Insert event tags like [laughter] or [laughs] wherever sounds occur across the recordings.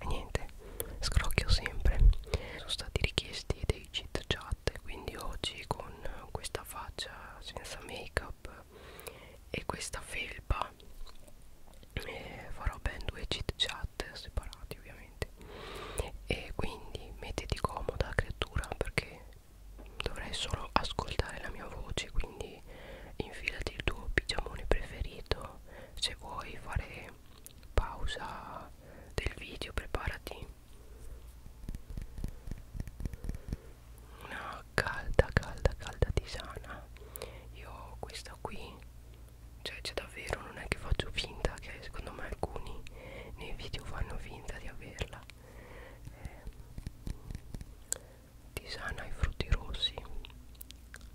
e niente scrocchio sempre sono stati richiesti dei cheat chat quindi oggi con questa faccia senza make up e questa felpa e eh, farò ben due cheat chat separati ovviamente e quindi mettiti comoda creatura perché dovrai solo ascoltare la mia voce quindi infilati il tuo pigiamone preferito se vuoi fare pausa del video preparati una calda calda calda tisana io questa qui cioè c'è davvero non è che faccio finta che secondo me alcuni nei video fanno finta di averla eh, tisana ai frutti rossi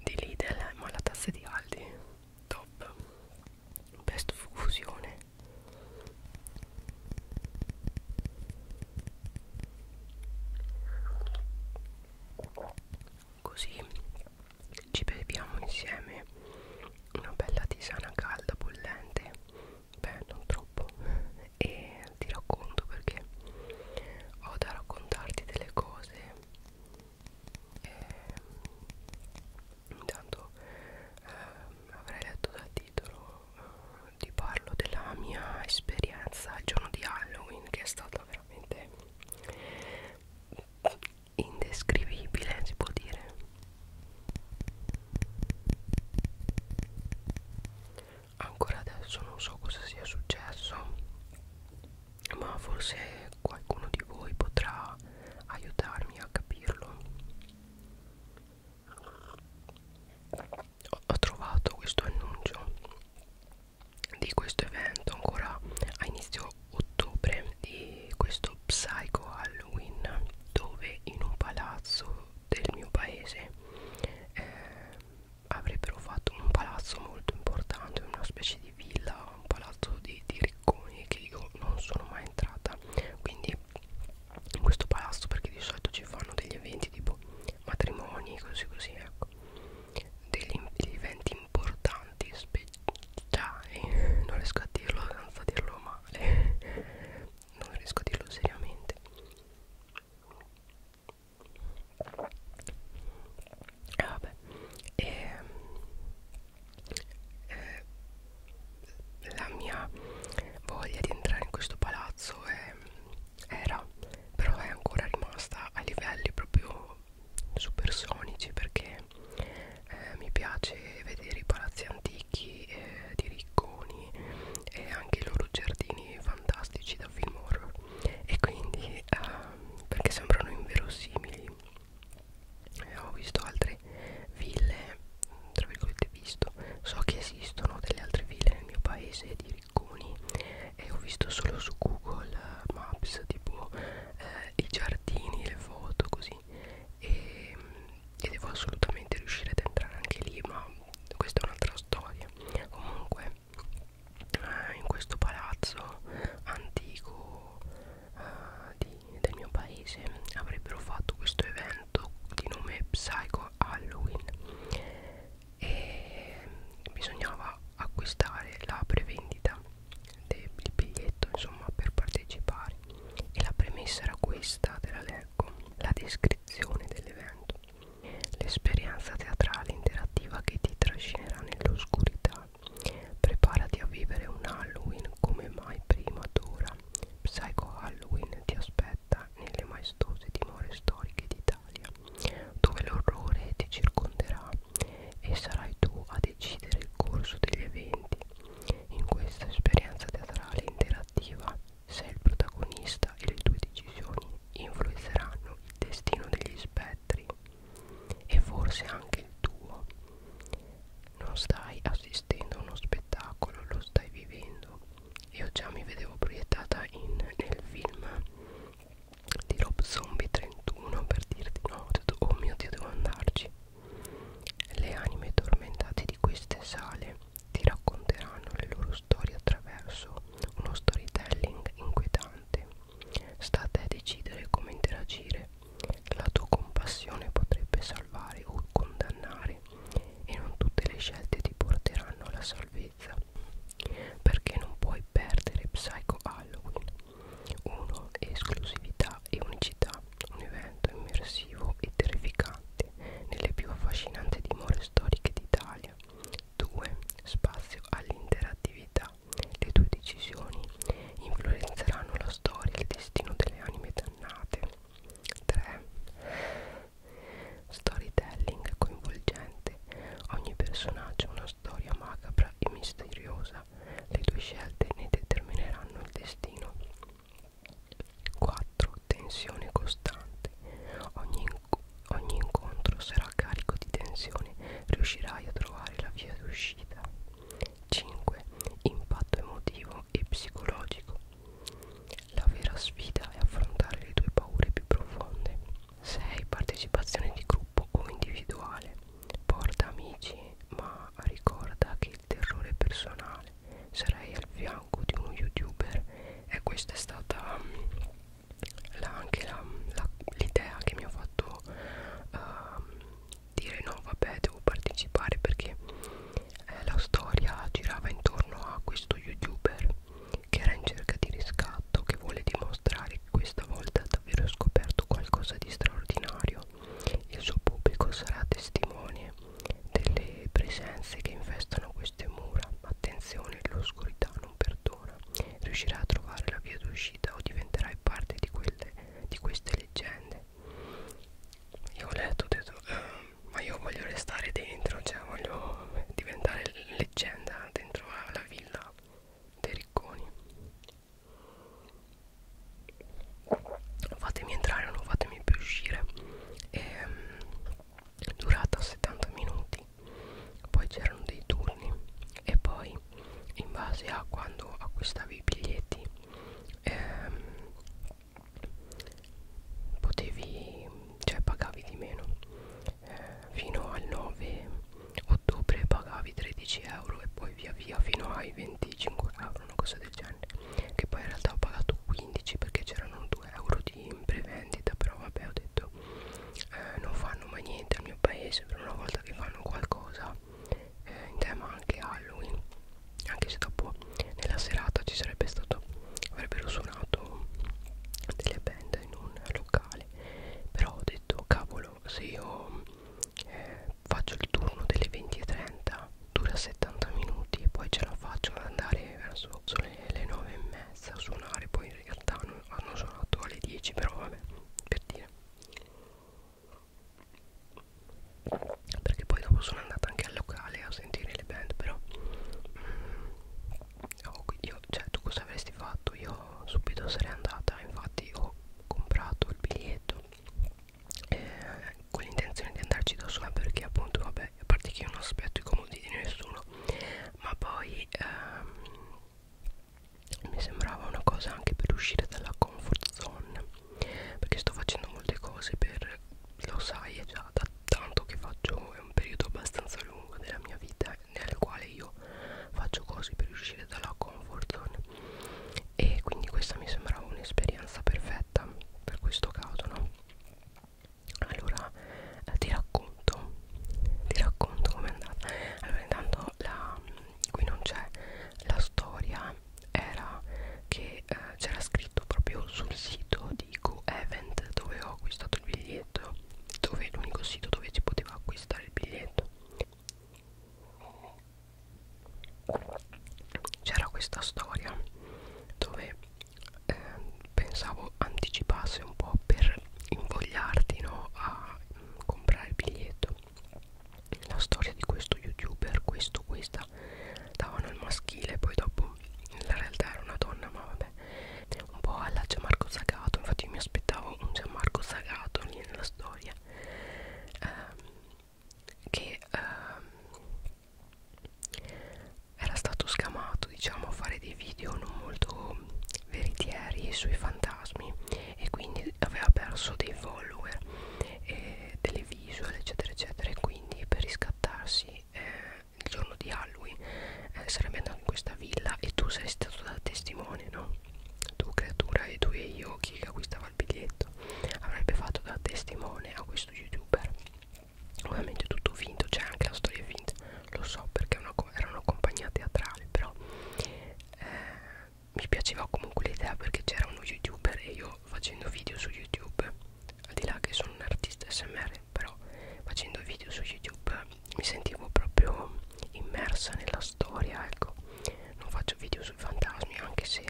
di Lidl ma la tazza di Aldi top best fusione così ci beviamo insieme una bella tisana calda bollente beh non troppo e ti racconto perché ho da raccontarti delle cose e, ehm, intanto eh, avrei letto dal titolo eh, ti parlo della mia esperienza il giorno di Halloween che è stata veramente indescrivibile si può dire ancora adesso non so cosa sia successo ma forse qualcuno di voi potrà aiutarmi a capirlo ho trovato questo annuncio di questo evento ancora a inizio ottobre di questo Psycho Halloween dove in un palazzo del mio paese eh, avrebbero fatto un palazzo molto importante una specie di villa un palazzo di, di ricconi che io non sono mai entrata quindi in questo palazzo perché di solito ci fanno degli eventi tipo matrimoni così così ecco degli, degli eventi importanti speciali eh, [laughs] non riesco a dirlo senza dirlo male [laughs] non riesco a dirlo seriamente e ah, vabbè e, ehm, eh, la mia voglia di entrare in questo palazzo è, era però è ancora rimasta a livelli proprio supersonici perché eh, mi piace vedere i palazzi antichi eh, di ricconi e anche i loro giardini fantastici da film horror e quindi eh, perché sembrano inverosimili eh, ho visto altre ville tra virgolette visto so che esistono delle altre ville nel mio paese di ricconi e ho visto solo su google eh, maps tipo eh, i giardini le foto così e, mm, e devo assolutamente riuscire ad entrare anche lì ma questa è un'altra storia comunque eh, in questo palazzo antico eh, di del mio paese avrebbero fatto questo evento di nome Psycho Halloween e bisognava acquistare la prevendita del biglietto insomma per partecipare e la premessa era questa te la leggo la descrizione dell'evento l'esperienza teatrale interattiva che ti trascinerà nell'oscurità Preparati a vivere un Halloween come mai prima d'ora. Psycho Halloween ti aspetta nelle maestose dimore storiche d'Italia, dove l'orrore ti circonderà e sarai tu a decidere il corso degli eventi. In questa esperienza teatrale interattiva sei il protagonista e le tue decisioni influenzeranno il destino degli spettri e forse anche il tuo. Non stai assistendo a uno spettacolo, lo stai vivendo. Io già mi vedevo proiettata in, nel film di Rob Zombie 31 per dirti no, detto, oh mio dio devo andarci. Le anime tormentate di queste sale ti racconteranno le loro storie attraverso uno storytelling inquietante. Sta a te decidere come interagire la tua compassione potrebbe salvare o condannare e non tutte le scelte ti porteranno alla salvezza. Perché non puoi perdere Psycho Halloween 1. Esclusività e unicità. Un evento immersivo e terrificante nelle più affascinanti dimore storiche d'Italia. 2. Spazio all'interattività. Le tue decisioni influenzeranno la storia e il destino delle anime dannate 3 storytelling coinvolgente ogni personaggio ha una storia macabra e misteriosa le tue scelte ne determineranno il destino 4 tensione costante ogni, inc ogni incontro sarà carico di tensione riuscirai a trovare la via d'uscita 5. Impatto emotivo e psicologico. La vera sfida è affrontare le tue paure più profonde. 6. Partecipazione di gruppo o individuale. Porta amici, ma ricorda che il terrore personale sarai al fianco di uno youtuber. E questa è stata mm, la, anche l'idea che mi ha fatto uh, dire no vabbè devo partecipare perché eh, la storia girava intorno a questo youtuber che era in cerca di riscatto che vuole dimostrare che questa volta ha davvero scoperto qualcosa di straordinario il suo pubblico sarà testimone delle presenze che infestano queste mura attenzione l'oscurità non perdona riuscirà a trovare la via d'uscita o diventerai parte di, quelle, di queste leggende io ho letto ho detto eh, ma io voglio restare dentro cioè voglio diventare leggenda dentro la villa dei ricconi fatemi entrare non fatemi più uscire e, ehm, durata 70 minuti poi c'erano dei turni e poi in base a quando acquistavi i biglietti ehm, potevi cioè pagavi di meno eh, fino al 9 ottobre pagavi 13 euro e poi via via fino ai 25 euro una cosa del genere che poi in realtà ho pagato 15 perché c'erano 2 euro di prevendita però vabbè ho detto eh, non fanno mai niente al mio paese però una volta che fanno qualcosa eh, in tema anche Halloween anche se dopo nella serata ci sarebbe stato avrebbero suonato delle band in un locale però ho detto cavolo se io eh, faccio il turno delle 20.30 dura 70 minuti e poi ce la faccio ad andare verso le, le 9 e mezza a suonare poi in realtà non, hanno suonato alle 10 però vabbè per dire perché poi dopo sono andata anche al locale a sentire le band però mm, oh, io, cioè tu cosa avresti fatto io subito sarei andata infatti ho comprato il biglietto eh, con l'intenzione di andarci da sola perché appunto vabbè a parte che io non aspetto i comodi di nessuno ma poi ehm, mi sembrava una cosa anche per uscire dalla comfort zone perché sto facendo molte cose per lo sai è già da tanto che faccio è un periodo abbastanza lungo della mia vita nel quale io faccio cose per uscire dalla comfort zone e quindi questa mi sembrava un'esperienza perfetta per questo caso no allora eh, ti racconto ti racconto com'è andata allora intanto la, qui non c'è la storia era che eh, c'era scritto proprio sul sito di Go Event dove ho acquistato il biglietto, dove è l'unico sito dove si poteva acquistare il biglietto. C'era questa storia dove eh, pensavo anticipasse un po' per invogliarti no, a mh, comprare il biglietto la storia di questo youtuber questo questa davano il maschile poi dopo nella realtà era una donna ma vabbè un po' alla Gianmarco Zagato infatti mi aspettavo un Gianmarco Zagato lì nella storia ehm, che ehm, era stato scamato diciamo a fare dei video non molto veritieri sui fantasmi e quindi aveva perso dei follower e delle visual eccetera eccetera e quindi per riscattarsi eh, il giorno di Halloween eh, sarebbe andato in questa villa e tu sei stato da testimone no? tu creatura e tu e io chi acquistava il biglietto avrebbe fatto da testimone a questo youtuber ovviamente tutto finto c'è cioè anche la storia finta lo so perché una, era una compagnia teatrale però eh, mi piaceva comunque l'idea perché c'era uno youtuber e io facendo video su youtube al di là che sono un artista smr però facendo video su youtube mi sentivo proprio immersa nella storia ecco non faccio video sui fantasmi anche se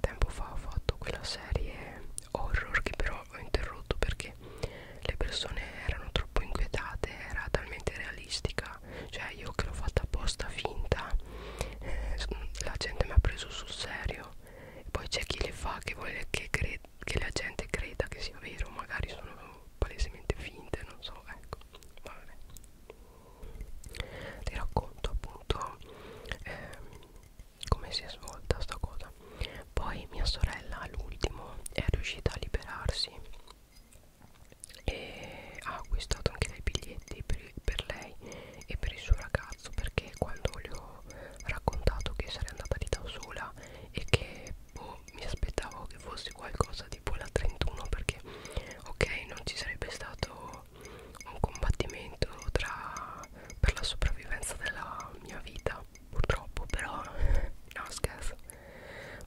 tempo fa ho fatto quella serie horror che però ho interrotto perché le persone erano troppo inquietate era talmente realistica cioè io che l'ho fatta apposta finta eh, la gente mi ha preso sul serio e poi c'è chi le fa che vuole che, che la gente creda che sia vero magari sono palesemente finte non so ecco vabbè ti racconto appunto ehm, come si è svolta sta cosa poi mia sorella all'ultimo è riuscita a liberarsi e ha acquistato anche dei biglietti per, per lei e per il suo ragazzo imbarazzo perché quando gli ho raccontato che sarei andata lì da sola e che boh, mi aspettavo che fosse qualcosa tipo la 31 perché ok non ci sarebbe stato un combattimento tra, per la sopravvivenza della mia vita purtroppo però [laughs] no scherzo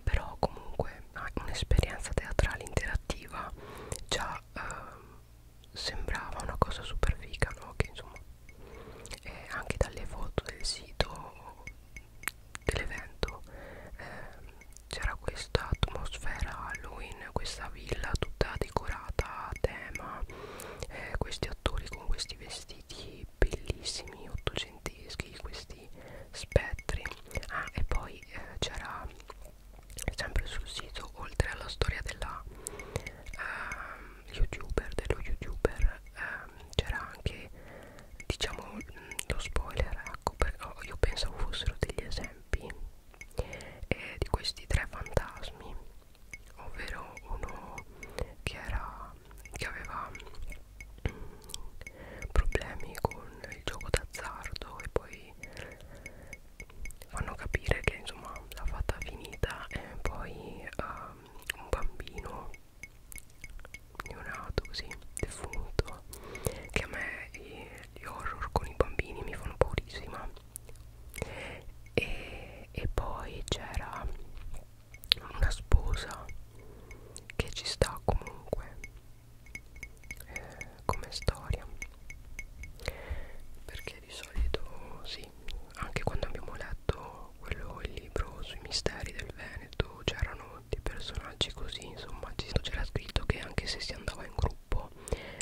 però comunque ah, un'esperienza teatrale interattiva già eh, sembrava una cosa super figa no? che insomma eh, anche dalle foto del sito dell'evento eh, c'era questa atmosfera Halloween questa villa tutta decorata a tema eh, questi attori con questi vestiti bellissimi ottocenteschi questi spettri ah e poi eh, c'era sempre sul sito oltre alla storia della uh, youtuber dello youtuber uh, c'era anche diciamo mh, lo spoiler ecco perché oh, io pensavo fossero degli esempi eh, di questi tre fantasmi ovvero uno che era che aveva mh, mm, problemi con il gioco d'azzardo e poi fanno capire che insomma l'ha fatta finita e poi um, un bambino neonato così defunto che a me eh, gli horror con i bambini mi fanno paurissima e, e poi c'era una sposa che ci sta comunque eh, come storia perché di solito sì anche quando abbiamo letto quello il libro sui misteri del Veneto c'erano dei personaggi così insomma c'era scritto che anche se si andava in gruppo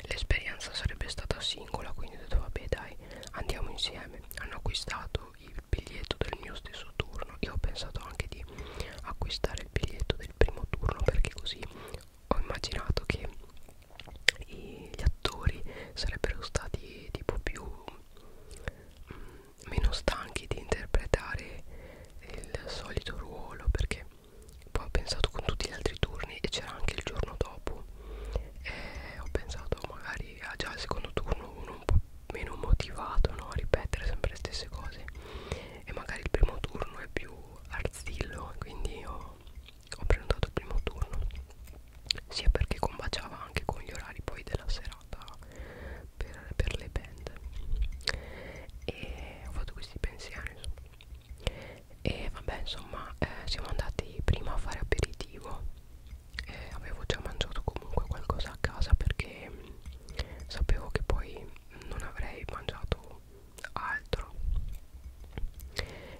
l'esperienza sarebbe stata singola quindi ho detto vabbè dai andiamo insieme hanno acquistato il biglietto del mio stesso turno io ho pensato anche di acquistare il biglietto del primo turno perché così ho immaginato che i, gli attori sarebbero stati tipo più mh, mm, meno stanchi di interpretare il solito ruolo perché poi ho pensato con tutti gli altri turni e c'era anche il giorno dopo e ho pensato magari ah già il secondo turno uno un po' meno motivato no? a ripetere sempre le stesse cose e magari il primo turno è più arzillo quindi ho ho prenotato il primo turno sia perché combaciava anche con gli orari poi della serata per, per le band e ho fatto questi pensieri insomma e vabbè insomma eh, siamo andati prima a fare aperitivo eh, avevo già mangiato comunque qualcosa a casa perché mh, mm, sapevo che poi non avrei mangiato altro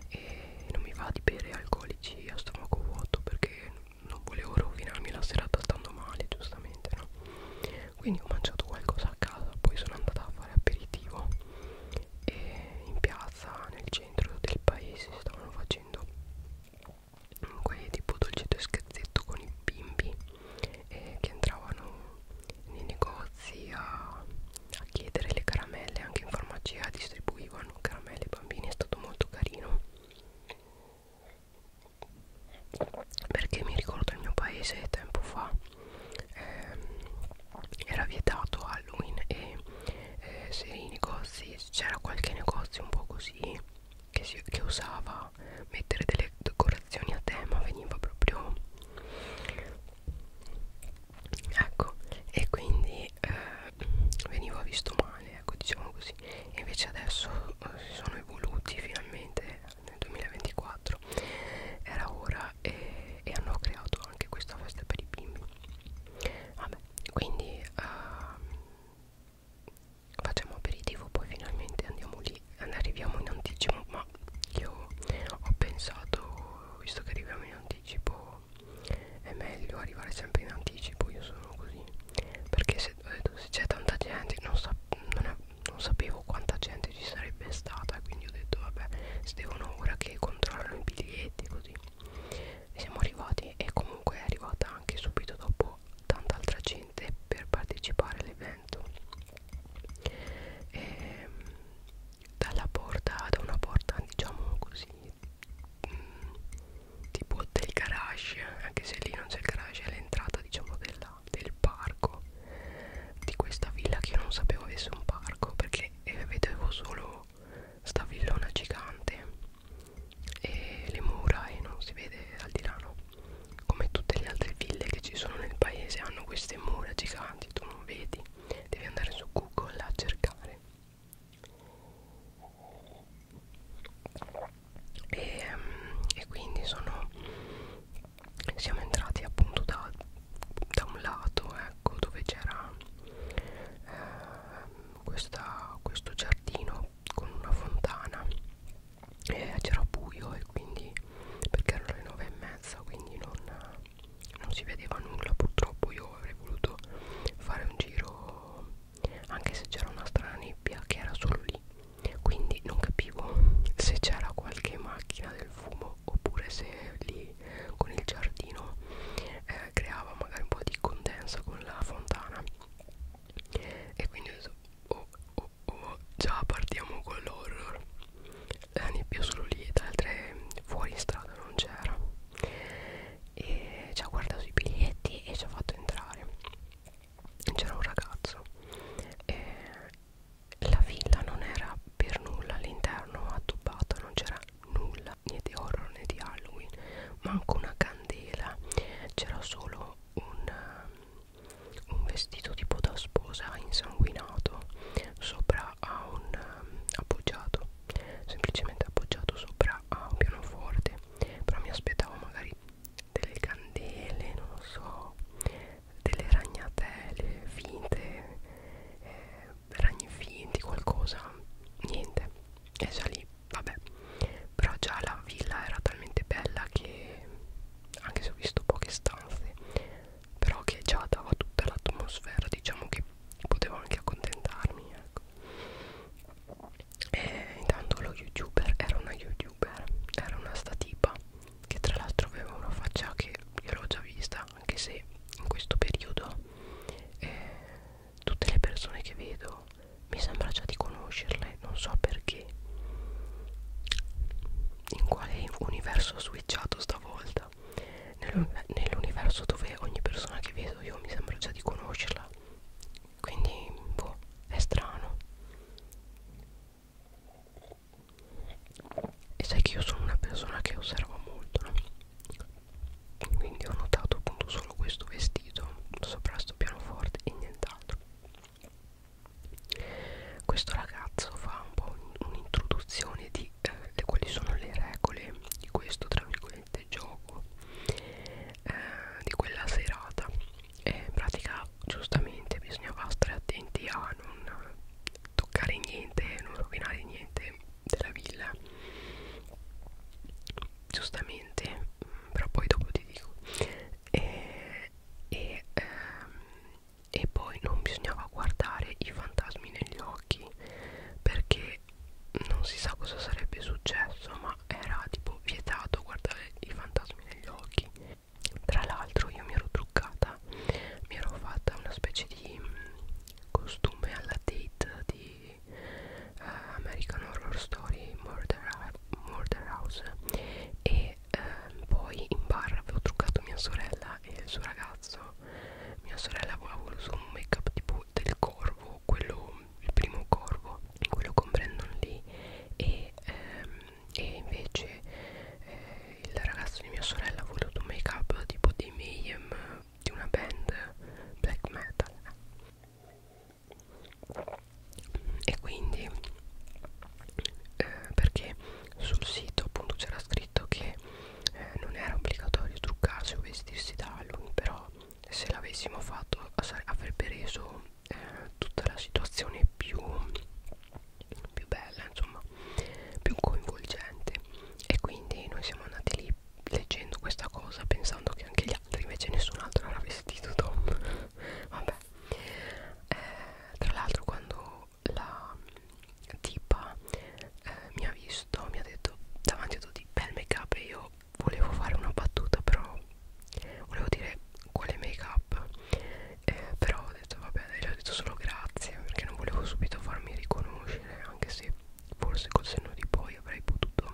e non mi va di bere alcolici a stomaco vuoto perché non volevo rovinarmi la serata stando male giustamente no quindi ho mangiato qualcosa a casa poi sono andata a fare aperitivo e in piazza nel centro del paese stavano facendo quei tipo dolcetto e scherzetto con i bimbi eh, che entravano nei negozi a, a chiedere le caramelle anche in farmacia distribuivano caramelle ai bambini è stato molto carino perché mi ricordo il mio paese tempo fa ehm, era vietato Halloween e eh, se i negozi c'era qualche negozio un po' così che, si, che usava mettere delle decorazioni a tema veniva proprio ecco e quindi eh, venivo visto male ecco diciamo così e invece adesso eh, si sono evoluti finalmente nel 2024 era ora e, e hanno creato anche questa festa per i bimbi vabbè quindi eh, facciamo aperitivo poi finalmente andiamo lì arriviamo in anticipo ma io ho pensato visto che arriviamo in anticipo però è meglio arrivare sempre in anticipo io sono così perché se, se c'è tanta gente non, sa, non, è, non sapevo quanta gente ci sarebbe stata quindi ho detto vabbè se devono ora che controllano i biglietti così e siamo arrivati e comunque è arrivata anche subito dopo tanta altra gente per partecipare all'evento e ehm, dalla porta da una porta diciamo così mh, mm, tipo del garage anche se lì non c'è il garage è l'entrata diciamo della, del parco di questa villa che io non sapevo avesse un parco perché eh, vedevo solo sta villona gigante e le mura e non si vede al di là no? come tutte le altre ville che ci sono nel paese hanno queste mura giganti tu non vedi devi andare su google a cercare e, e quindi sono siamo entrati appunto da, da un lato ecco dove c'era eh, questo giardino con una fontana e c'era buio e quindi perché erano le nove e mezza quindi non non si vedeva nulla purtroppo io avrei voluto fare un giro anche se c'era una strana nebbia che era solo lì quindi non capivo se c'era qualche macchina del fumo oppure se lì con il giardino eh, creava magari un po' di condensa con la fontana e quindi ho detto oh, oh, oh, già partiamo con l'horror la nebbia solo lì ed altre fuori in strada non c'era e ci ha guardato i biglietti e ci ha fatto entrare c'era un ragazzo e la villa non era per nulla all'interno addobbata non c'era nulla né di horror né di Halloween manco una candela c'era solo un, um, un vestito tipo da sposa insanguinato sopra a un um, appoggiato semplicemente appoggiato sopra a un pianoforte però mi aspettavo magari delle candele non lo so delle ragnatele finte eh, ragni finti qualcosa niente e già lì vabbè però già la villa era talmente bella che anche se ho visto poche stanze però che già dava tutta l'atmosfera diciamo che potevo anche accontentarmi ecco e intanto lo youtuber era una youtuber era una statipa che tra l'altro aveva una faccia che io l'ho già vista anche se in questo periodo eh, tutte le persone che vedo mi sembra già di conoscerle non so perché in quale universo ho switchato stavolta vita nell'universo dove ogni persona che vedo io mi sembra già di conoscerla quindi boh, è strano e sai che io sono una persona che osserva molto no? quindi ho notato appunto solo questo vestito sopra questo pianoforte e nient'altro questo ragazzo fa un po' un'introduzione di eh, quali sono le regole di questo tra virgolette veramente gioco eh, di quella serata e in pratica giustamente bisognava stare attenti a non toccare niente non rovinare niente della villa giustamente però poi dopo ti dico e, e, ehm, e poi non bisognava guardare i fantasmi negli occhi perché che non si sa cosa sarebbe successo ma era tipo vietato guardare i fantasmi negli occhi tra l'altro io mi ero truccata mi ero fatta una specie di mm, costume alla date di uh, American Horror Story Murder, Murder House e uh, poi in bar avevo truccato mia sorella e il suo ragazzo mia sorella aveva voluto un make up tipo del corvo quello, il primo corvo quello con Brandon lì e, ehm, e invece eh, il ragazzo di mia sorella ha voluto un make up tipo di Mayhem di una band black metal e quindi eh, perché sul sito appunto c'era scritto che eh, non era obbligatorio truccarsi o vestirsi da Halloween però se l'avessimo fatto avrebbe reso eh, tutta la situazione più, più bella, insomma, più coinvolgente. E quindi noi siamo andati lì leggendo questa cosa pensando che anche gli altri, invece nessun altro era vestito Tom. [laughs] Vabbè. Eh, tra l'altro quando la tipa eh, mi ha visto mi ha detto davanti a tutti bel make up e io volevo fare una battuta però volevo dire quale make up eh, però ho detto vabbè gli ho detto solo grazie perché non volevo subito farmi riconoscere anche se forse col senno di poi avrei potuto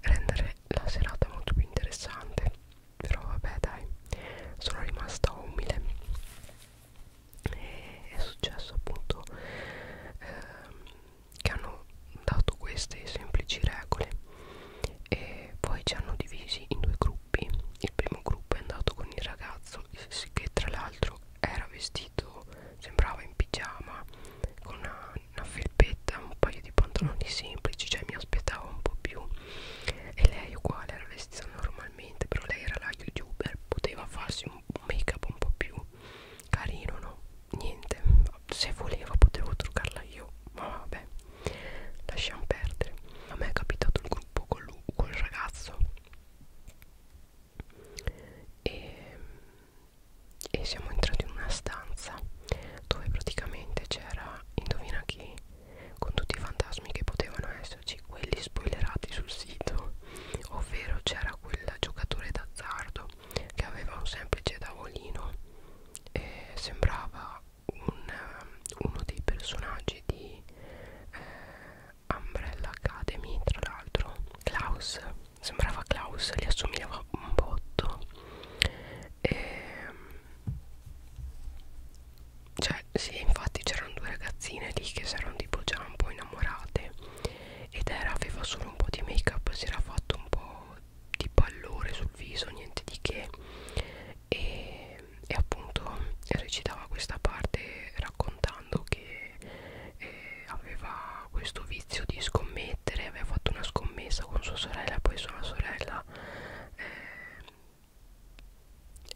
rendere la serata molto più interessante però vabbè dai sono rimasta umile e è successo appunto ehm, che hanno dato queste semplici regole e poi ci hanno divisi in due gruppi il primo gruppo è andato con il ragazzo che tra l'altro era vestito sembrava in pigiama con una, una felpetta un paio di pantaloni semplici cioè mi aspettavo un po' più e lei uguale era vestita normalmente però lei era la youtuber poteva farsi un make up un po' più carino no niente se volevo potevo truccarla io ma vabbè lasciamo perdere a me è capitato il gruppo con, lui, con il ragazzo e, e siamo entrati in una stanza dove praticamente c'era indovina chi con tutti i fantasmi che potevano esserci quelli spoilerati sul sito ovvero c'era quel giocatore d'azzardo che aveva un semplice tavolino e sembrava un, um, uno dei personaggi di eh, Umbrella Academy tra l'altro Klaus sembrava Klaus gli assomigliava un botto e, cioè sì infatti c'erano due ragazzine lì che si erano tipo già un po' innamorate ed era aveva solo un po' di make up si era fatto un po' di pallore sul viso niente di che e, e appunto recitava questa parte raccontando che eh, aveva questo vizio di scommettere aveva fatto una scommessa con sua sorella poi sua sorella eh,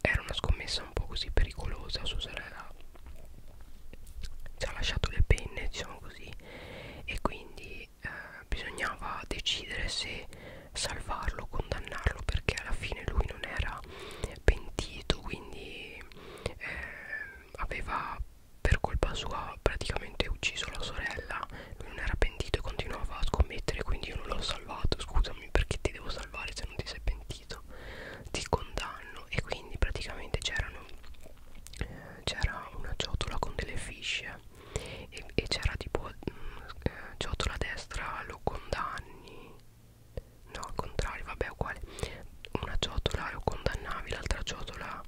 era una scommessa un po' così pericolosa sua sorella ci ha lasciato le penne diciamo così e quindi eh, bisognava decidere se salvarlo o condannarlo perché alla fine lui non era pentito quindi eh, aveva per colpa sua praticamente ucciso la sorella lui non era pentito e continuava a scommettere quindi io non l'ho salvato scusami perché ti devo salvare se non ti sei pentito ti condanno e quindi praticamente c'erano eh, c'era una ciotola con delle fisce e, e c'era tipo mh, mm, eh, ciotola destra locondanni no al contrario vabbè uguale una ciotola lo condannavi l'altra ciotola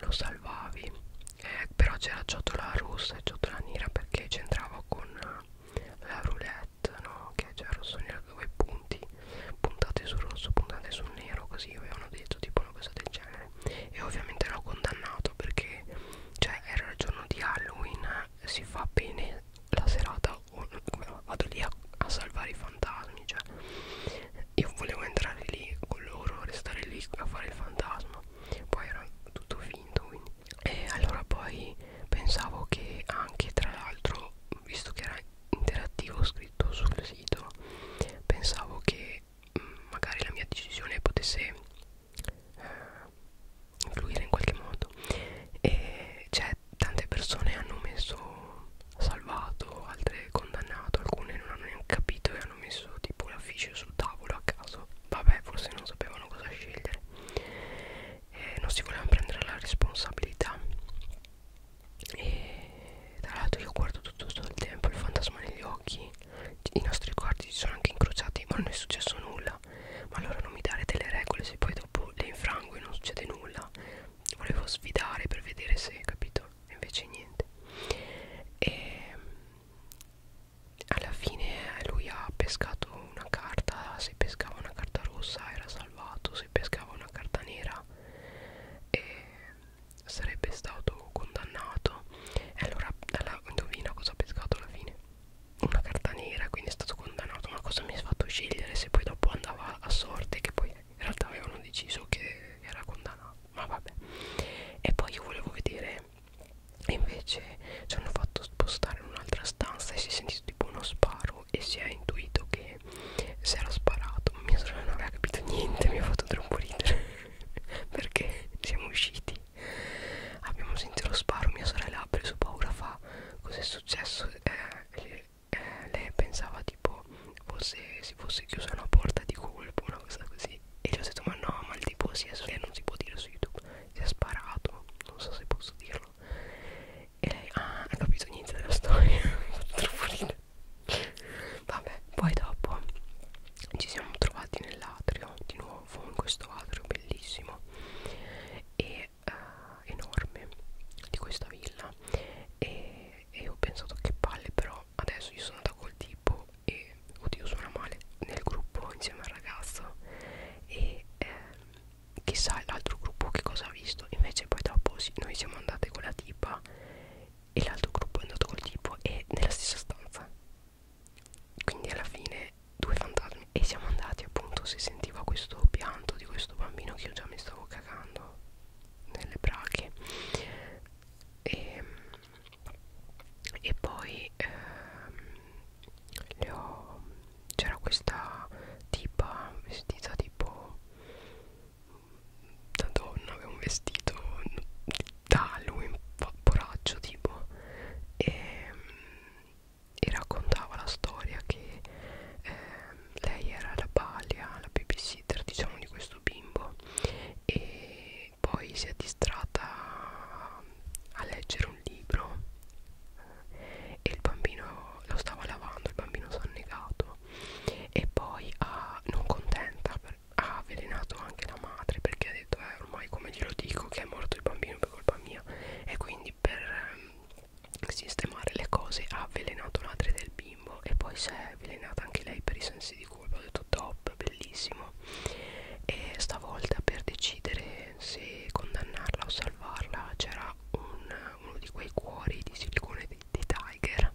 lo salvavi eh, però c'era ciotola rossa e ciotola nera perché c'entrava con eh, la roulette no che c'era rosso nero due punti puntate sul rosso puntate sul nero così avevano detto tipo una cosa del genere genere cioè, e ovviamente l'ho condannato perché cioè era il giorno di Halloween si fa bene la serata vado lì a, a salvare i fantasmi cioè io volevo entrare lì con loro restare lì a fare il fantasma poi era tutto finto quindi e allora poi pensavo che anche tra l'altro visto che era interattivo scritto sul sito pensavo che magari la mia decisione potesse eh, influire in qualche modo e cioè tante persone hanno messo salvato altre condannato alcune non hanno neanche capito e hanno messo tipo l'afficio sul tavolo a caso vabbè forse non sapevano cosa scegliere e non si volevano prendere la responsabilità e tra l'altro io guardo tutto, tutto il tempo il fantasma negli occhi i nostri quarti si sono anche incrociati ma non è successo nulla ma allora non mi dare delle regole se poi dopo le infrango e non succede nulla volevo sfidare per vedere se capito e invece niente e alla fine lui ha pescato una carta se pescava una carta rossa era salvato se pescava una carta nera e sarebbe stato condannato e allora alla, indovina cosa ha pescato alla fine una carta nera quindi è stato condannato ma cosa mi ha fatto scegliere se poi dopo andava a sorte che poi in realtà avevano deciso che era condannato ma vabbè e poi io volevo vedere e invece ci hanno fatto spostare in un'altra stanza e si è sentito tipo uno sparo e si è intuito che si era sparato mia sorella non aveva capito niente mi ha fatto troppo ridere [laughs] perché siamo usciti abbiamo sentito lo sparo mia sorella ha preso paura fa cos'è successo eh, eh, lei pensava tipo fosse, si fosse chiusa una porta di colpo una cosa così e gli ho detto ma no ma il tipo si è lei non si può dire su youtube si è sparato non so se posso dirlo e lei ah, ha capito niente della storia [laughs] troppo ridere vabbè poi dopo ci siamo trovati nell'atrio di nuovo in questo atrio bellissimo e uh, enorme di questa villa e, e ho pensato che palle però adesso io sono andata col tipo e oddio suona male nel gruppo insieme al ragazzo e eh, chissà l'altro gruppo che cosa ha visto invece poi dopo sì, noi siamo andate con la tipa e l'altro gruppo è andato col tipo e nella stessa stanza quindi alla fine due fantasmi e siamo andati appunto si sentiva questo pianto di questo bambino che io già mi stavo cagando nelle brache e, ehm, e poi ehm, c'era questa tipa vestita tipo da donna aveva un vestito giallo in vaporaggio tipo e, mm, e raccontava la storia che eh, lei era la balia, la babysitter diciamo di questo bimbo e poi si è distratta a leggere un libro e il bambino lo stava lavando, il bambino si è annegato e poi a, ah, non contenta per, ha avvelenato anche la madre perché ha detto eh, ormai come glielo dico che è morto il bambino per colpa mia e quindi per ehm, sistemare le cose ha avvelenato la madre del bimbo e poi si è avvelenata anche lei per i sensi di colpa ho detto top bellissimo e stavolta per decidere se condannarla o salvarla c'era un, uno di quei cuori di silicone di, di Tiger mia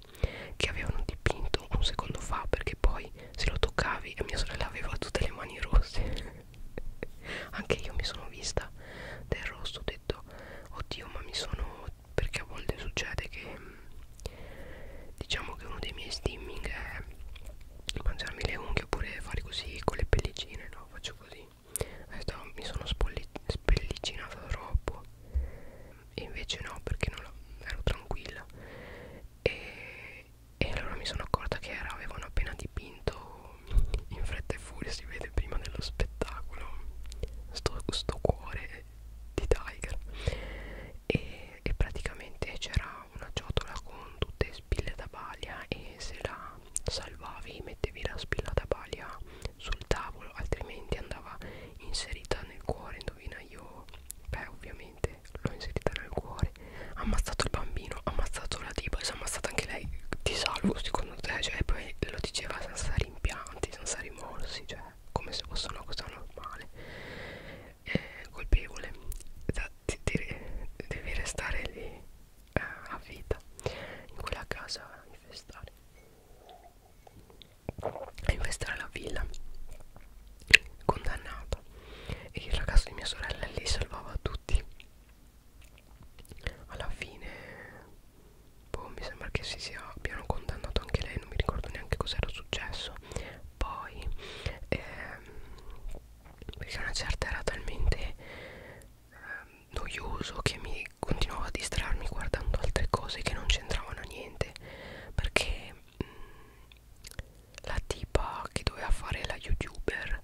che avevano dipinto un secondo fa perché poi se lo toccavi e mia sorella aveva tutte le mani rosse [laughs] anche io mi sono vista del rosso ho detto oddio ma mi sono perché a volte succede che diciamo che uno dei miei stimming è mangiarmi le unghie oppure fare così con le pellicine no faccio così mi sono spellicinata troppo e invece no perché non la, ero tranquilla e, e allora mi sono accorta che era, avevano appena dipinto in fretta e furia si vede prima dello spettacolo sto, sto cuore di Tiger e, e praticamente c'era una ciotola con tutte spille da baglia e se la salvavi mettevi la spilla da baglia sul tavolo altrimenti andava inserita nel cuore indovina io beh ovviamente veramente l'ho inserita nel cuore ha ammazzato il bambino, ha ammazzato la tipa e si è ammazzata anche lei ti salvo secondo te, cioè poi lo diceva senza rimpianti, senza rimorsi cioè come se fosse una cosa normale eh, colpevole da, di, di, devi restare lì eh, a vita in quella casa infestare a infestare la villa condannata e il ragazzo di mia sorella lì salvava tutti alla fine boh, mi sembra che si sia abbiano condannato anche lei non mi ricordo neanche cos'era successo poi ehm, perché una certa era talmente ehm, noioso che mi continuavo a distrarmi guardando altre cose che non c'entravano niente perché mh, mm, la tipa che doveva fare la youtuber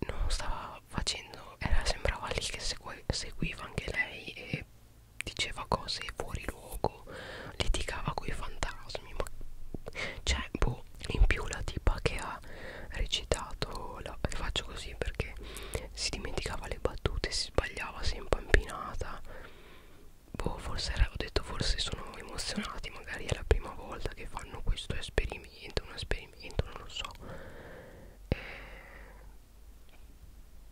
non stava facendo era sembrava lì che segue, seguiva anche lei e diceva cose fuori luogo litigava con i fantasmi ma cioè boh in più la tipa che ha recitato la, faccio così perché si dimenticava le battute si sbagliava si è impampinata boh, forse era, ho detto forse sono emozionati, magari è la prima volta che fanno questo esperimento, un esperimento, non lo so. Eh,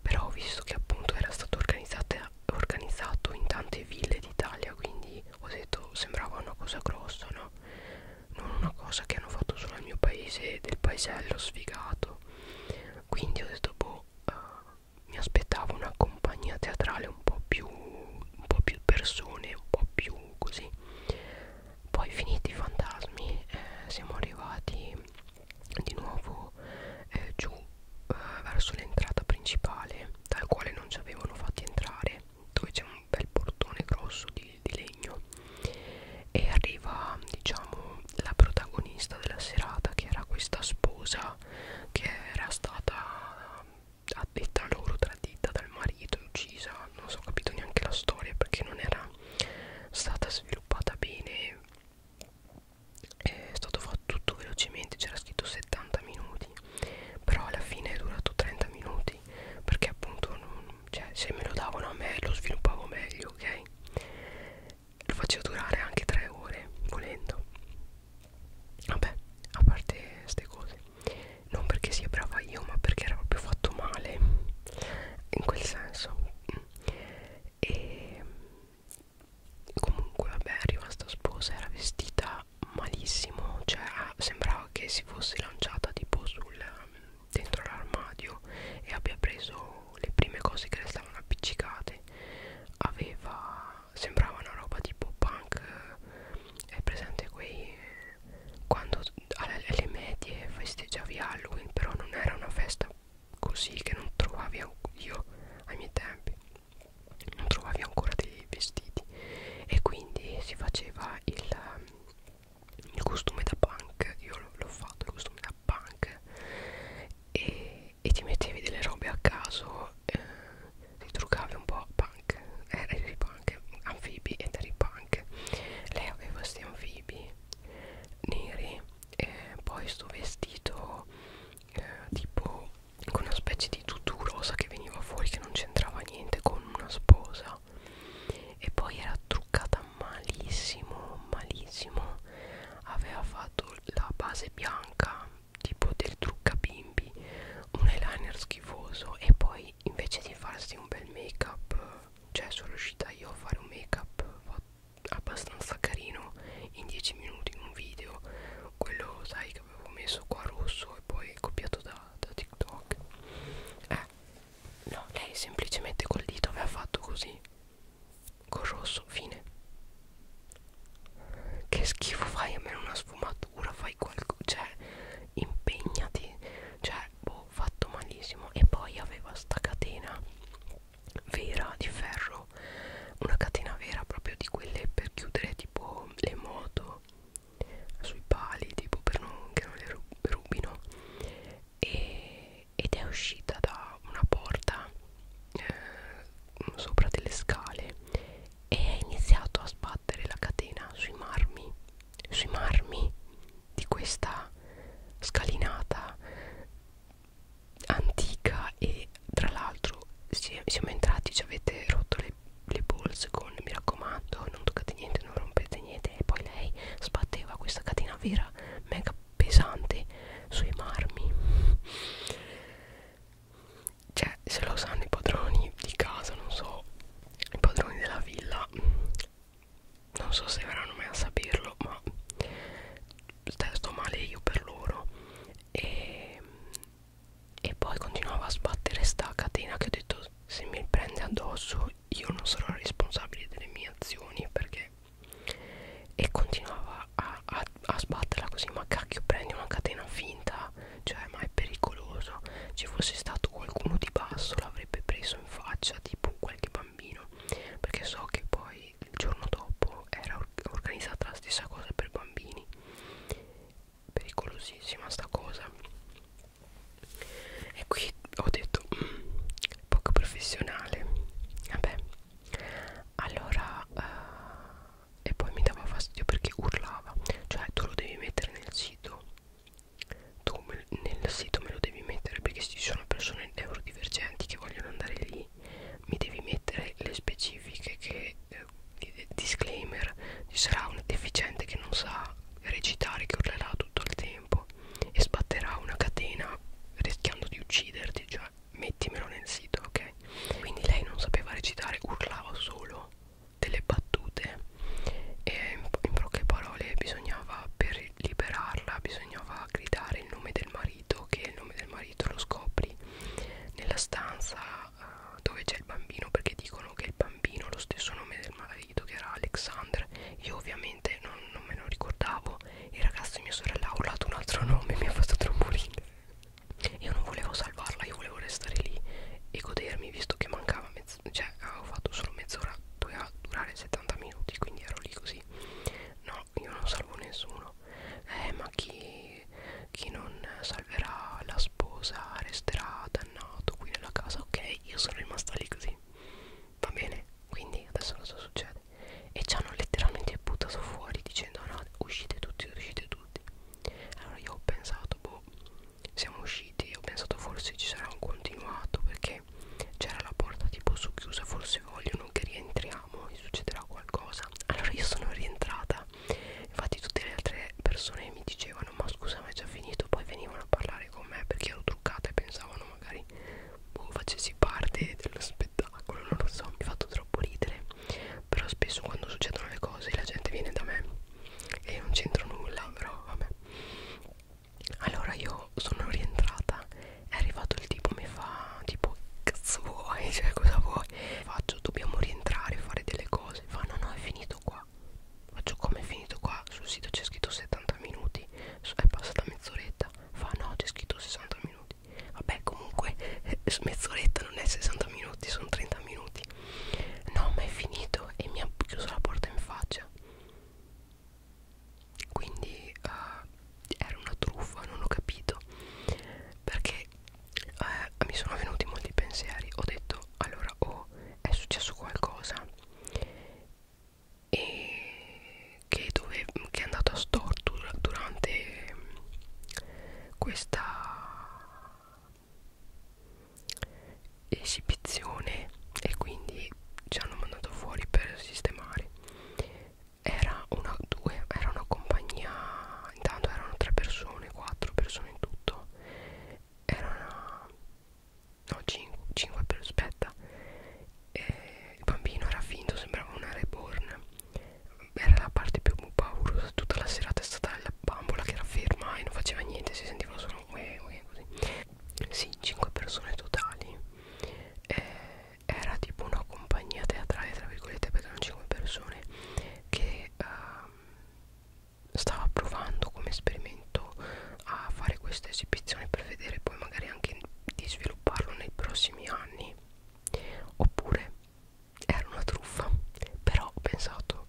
però ho visto che appunto era stato organizzato in tante ville d'Italia, quindi ho detto sembrava una cosa grossa, no? Non una cosa che hanno fatto solo al mio paese, del paesello sfigato. Quindi ho detto boh, uh, mi aspettavo una compagnia teatrale un po' più un po' più persone un po' più così poi finiti i fantasmi eh, siamo arrivati di nuovo eh, giù eh, verso l'entrata principale dal quale non ci avevano fatti entrare dove c'è un bel portone grosso di, di legno e arriva diciamo la protagonista della serata che era questa sposa che era stata addetta loro tradita dal marito e uccisa non so ho capito neanche la storia perché non era stata sviluppata bene è stato fatto tutto velocemente c'era scritto 70 minuti però alla fine è durato 30 minuti perché appunto non, cioè, se me lo davano a me lo sviluppavo meglio ok lo facevo durare anche 3 ore volendo Vabbè, a parte ste cose Non perché sia brava io ma perché era proprio fatto male In quel senso E comunque vabbè arriva sta sposa Era vestita malissimo Cioè ah, sembrava che si fosse lanciata tipo sul dentro l'armadio E abbia preso le prime cose che le stavano appiccicate Aveva sembrava una roba tipo punk è presente quei quando alle, alle medie festeggiavi Halloween però non era una festa così che non trovavi io ai miei tempi non trovavi ancora dei vestiti e quindi si faceva il, il costume da punk io l'ho fatto il costume da punk e e ti mettevi delle robe a caso eh, ti truccavi un po' punk eh, eri punk anfibi ed eri punk lei aveva questi anfibi neri eh, poi sto vestito eh, tipo con una specie di tutù rosa che veniva fuori che non c'entrava niente con una sposa e poi era truccata malissimo malissimo aveva fatto la base bianca tipo del trucca bimbi un eyeliner schifoso e poi invece di farsi un bel make up cioè sono riuscita io a fare un make up abbastanza carino in 10 minuti in un video quello sai che avevo messo qua rosso e poi copiato da, da tiktok eh no lei semplicemente col dito aveva fatto così col rosso fine che schifo fai almeno una sfumatura fai qualcosa cioè impegnati cioè boh fatto malissimo e poi aveva sta catena vera di ferro una catena vera proprio di quelle per chiudere tipo le moto sui pali tipo per non che non le rub rubino e, ed è uscita da una porta eh, sopra delle scale e ha iniziato a sbattere la catena sui marmi sui marmi di questa scalinata antica e tra l'altro siamo entrati ci avete rotto le, le bolse con mi raccomando non toccate niente non rompete niente e poi lei sbatteva questa catena vera mega pesante sui marmi cioè se lo sanno i padroni di casa non so i padroni della villa non so se verranno mai a saperlo ma sto male io per loro e, e poi continuava a sbattere sta catena che ho detto se mi prende addosso io non sarò responsabile delle mie azioni perché e continuava a, a a sbatterla così ma cacchio prendi una catena finta cioè ma è pericoloso ci fosse stato qualcuno di basso l'avrebbe preso in faccia tipo qualche bambino perché so che poi il giorno dopo era organizzata la stessa cosa per bambini pericolosissima sta cosa e qui ho detto [clears throat] poco professionale vabbè allora uh, e poi mi dava fastidio perché urlava cioè tu lo devi mettere nel sito tu me, nel sito me lo devi mettere perché ci sono persone neurodivergenti che vogliono andare lì mi devi mettere le specifiche che eh, disclaimer ci sarà un deficiente che non sa recitare che urlerà tutto il tempo e sbatterà una catena rischiando di ucciderti cioè mettimelo nel sito ok quindi lei non sapeva recitare urlava solo delle battute e in, po in poche parole bisognava per liberarla bisognava gridare il nome del marito che il nome del marito lo scopri nella stanza uh, dove c'è il bambino perché dicono che il bambino ha lo stesso nome del marito che era Alexander io ovviamente non, non me lo ricordavo il ragazzo di mia sorella ha urlato un altro nome [laughs] mi ha fatto troppo ridere io non volevo salvarla, io volevo restare lì e godermi visto che mancava mezz'ora, cioè avevo fatto solo mezz'ora, doveva durare 70 minuti, quindi ero lì così. No, io non salvo nessuno. Eh, ma chi, chi non salverà la sposa resterà dannato qui nella casa, ok? Io sono rimasta lì così. Va bene, quindi adesso cosa succede? E ci hanno letteralmente buttato fuori dicendo no, uscite tutti, uscite tutti allora io ho pensato boh siamo usciti ho pensato forse ci sarà un continuato perché c'era la porta tipo su chiusa forse vogliono che rientriamo e succederà qualcosa allora io sono rientrata infatti tutte le altre persone mi dicevano ma scusa ma è già finito poi venivano a parlare con me perché ero truccata e pensavano magari boh facessi parte dello spettacolo non lo so mi ha fatto troppo ridere però spesso quando succedono le cose la gente viene da me e non c'entro nulla però vabbè allora io sono rientrata è arrivato il tipo mi fa tipo cazzo vuoi [laughs] cioè cosa vuoi faccio dobbiamo rientrare fare delle cose fa no no è finito qua faccio come è finito qua sul sito c'è scritto 70 minuti è passata mezz'oretta fa no c'è scritto 60 minuti vabbè comunque [laughs] mezz'oretta non è 60 minuti sono 30 minuti no ma è finito e mi ha chiuso la porta in faccia quindi uh, era una truffa non ho capito perché uh, mi sono venuti molti pensieri ho detto allora o oh, è successo qualcosa e che, dove, che è andato a storto durante mm, questa esibizione e quindi ci hanno mandato fuori per sistemare era una, due, era una compagnia intanto erano tre persone quattro persone in tutto era una no cinque, cinque per aspetta eh, il bambino era finto sembrava una reborn era la parte più dormo paurosa tutta la serata è stata la bambola che era ferma e non faceva niente si sentiva solo un uè, uè, così sì 5 persone totali eh, era tipo una compagnia teatrale tra virgolette perché erano 5 persone che uh, stava provando come esperimento a fare questa esibizione per vedere poi magari anche di svilupparlo nei prossimi anni oppure era una truffa però ho pensato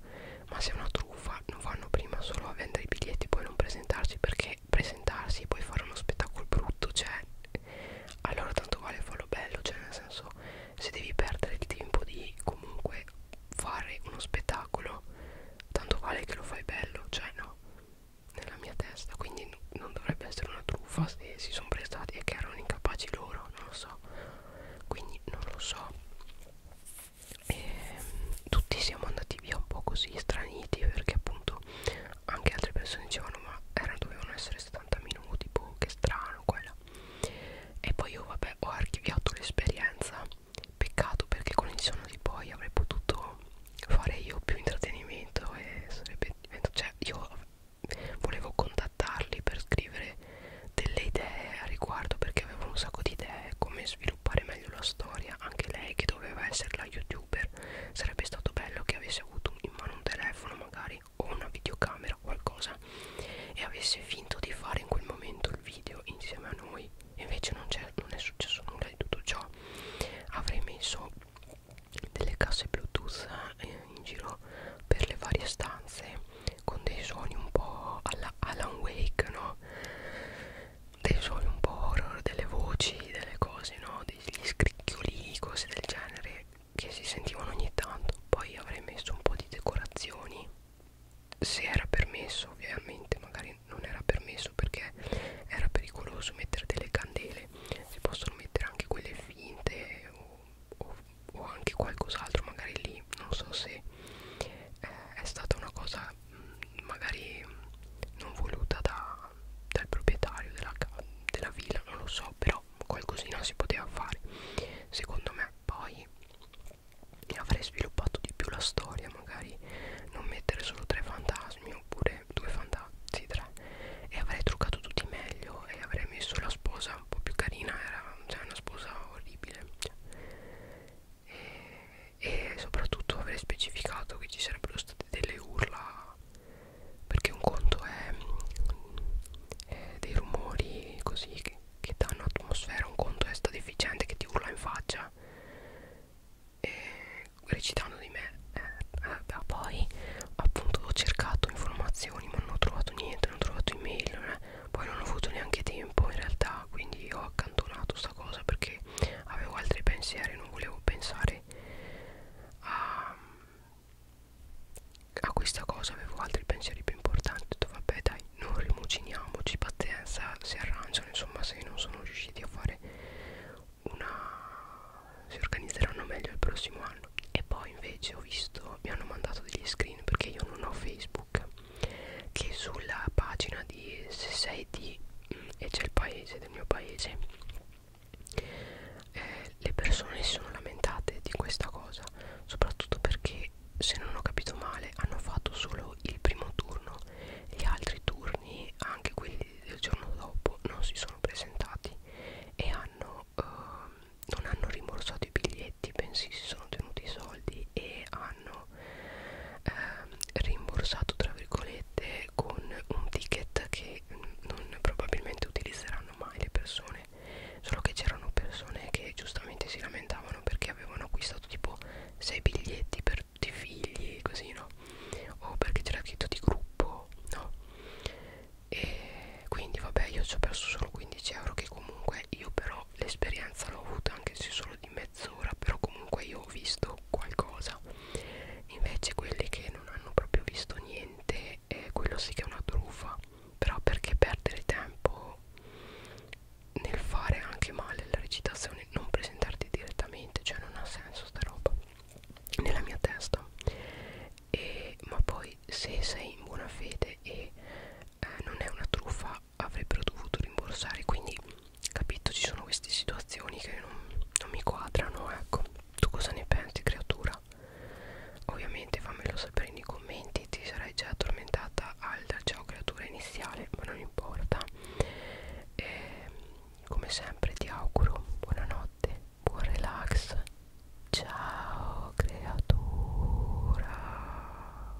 ma se è una truffa non vanno prima solo a vendere i biglietti e poi non presentarsi perché presentarsi e poi fare uno spettacolo brutto cioè allora tanto vale farlo bello cioè nel senso se devi perdere il tempo di comunque fare uno spettacolo tanto vale che lo fai bello cioè no nella mia testa quindi non dovrebbe essere una truffa se si sono prestati e che erano incapaci loro non lo so quindi non lo so e mm, tutti siamo andati via un po' così straniti perché appunto anche altre persone dicevano ma era, dovevano essere 70 minuti boh che strano quella e poi io vabbè ho archiviato l'esperienza peccato perché con il giorno di poi avrei potuto fare io più intrattenimento e sarebbe cioè io volevo contattarli per scrivere delle idee a riguardo perché aveva un sacco di idee come sviluppare meglio la storia anche lei che doveva essere la youtuber sarebbe stato bello che avesse avuto in mano un telefono magari o una videocamera o qualcosa e avesse finto di fare in quel momento il video insieme a noi invece non, è, non è successo nulla di tutto ciò avrei messo delle casse bluetooth eh, in giro per le varie stanze con dei suoni un po' alla Alan Wake, no? Dei suoni un po' horror, delle voci, delle cose, no? Degli scricchioli, cose del genere che si sentivano ogni tanto. Poi avrei messo un po' di decorazioni, se era permesso, ovviamente, magari non era permesso perché era pericoloso mettere delle candele. Si possono mettere anche quelle finte o, o o anche qualcos'altro magari lì non so se eh, è stata una cosa mh, mm, magari non voluta da, dal proprietario della, della villa non lo so però qualcosina si poteva fare secondo me poi avrei sviluppato di più la storia magari non mettere solo tre fantasmi oppure due fantasmi sì, tre e avrei truccato tutti meglio e avrei messo la sposa un po' più carina era cioè, una sposa orribile cioè, e, e soprattutto avrei specificato che ci sarebbero state delle urla perché un conto è, è dei rumori così che, che danno atmosfera un conto è sta deficiente che ti urla in faccia e recitando di me eh, eh, poi appunto ho cercato informazioni ma non ho trovato niente non ho trovato email poi non ho avuto neanche tempo in realtà quindi ho accantonato sta cosa perché avevo altri pensieri non volevo pensare a, a questa cosa avevo altri pensieri più importanti ho detto vabbè dai non rimuciniamoci pazienza si arrangiano insomma se non sono riusciti a fare una si organizzeranno meglio il prossimo anno e poi invece ho visto mi hanno mandato degli screen perché io non ho facebook facebook che sulla pagina di se sei di mm, e c'è il paese del mio paese eh, le persone si sono lamentate di questa cosa soprattutto perché se non ho capito male hanno fatto solo il primo turno gli altri turni anche quelli del giorno dopo non si sono presentati e hanno, eh, non hanno rimborsato i biglietti clienti ben si sono tenuti i soldi e hanno ehm, rimborsato tra virgolette con un ticket che non probabilmente utilizzeranno mai le persone solo che c'erano persone che giustamente si lamentavano perché avevano acquistato tipo 6 biglietti per tutti i figli così no o perché c'era scritto di gruppo no e quindi vabbè io ci ho perso solo 15 euro che comunque me io però l'esperienza l'ho avuta anche se solo di mezz'ora però comunque io ho visto qualcosa invece quelli che non hanno proprio visto niente eh, quello sì che è una truffa però perché perdere tempo nel fare anche male la recitazione non presentarti direttamente cioè non ha senso sta roba nella mia testa e, ma poi se sei in buona fede e eh, non è una truffa avrebbero dovuto rimborsare quindi capito ci sono queste situazioni che non, non mi quadrano ecco tu cosa ne pensi creatura ovviamente fammelo sapere nei commenti ti sarei già addormentata al ciao creatura iniziale ma non importa e, ehm, come sempre ti auguro buonanotte buon relax ciao creatura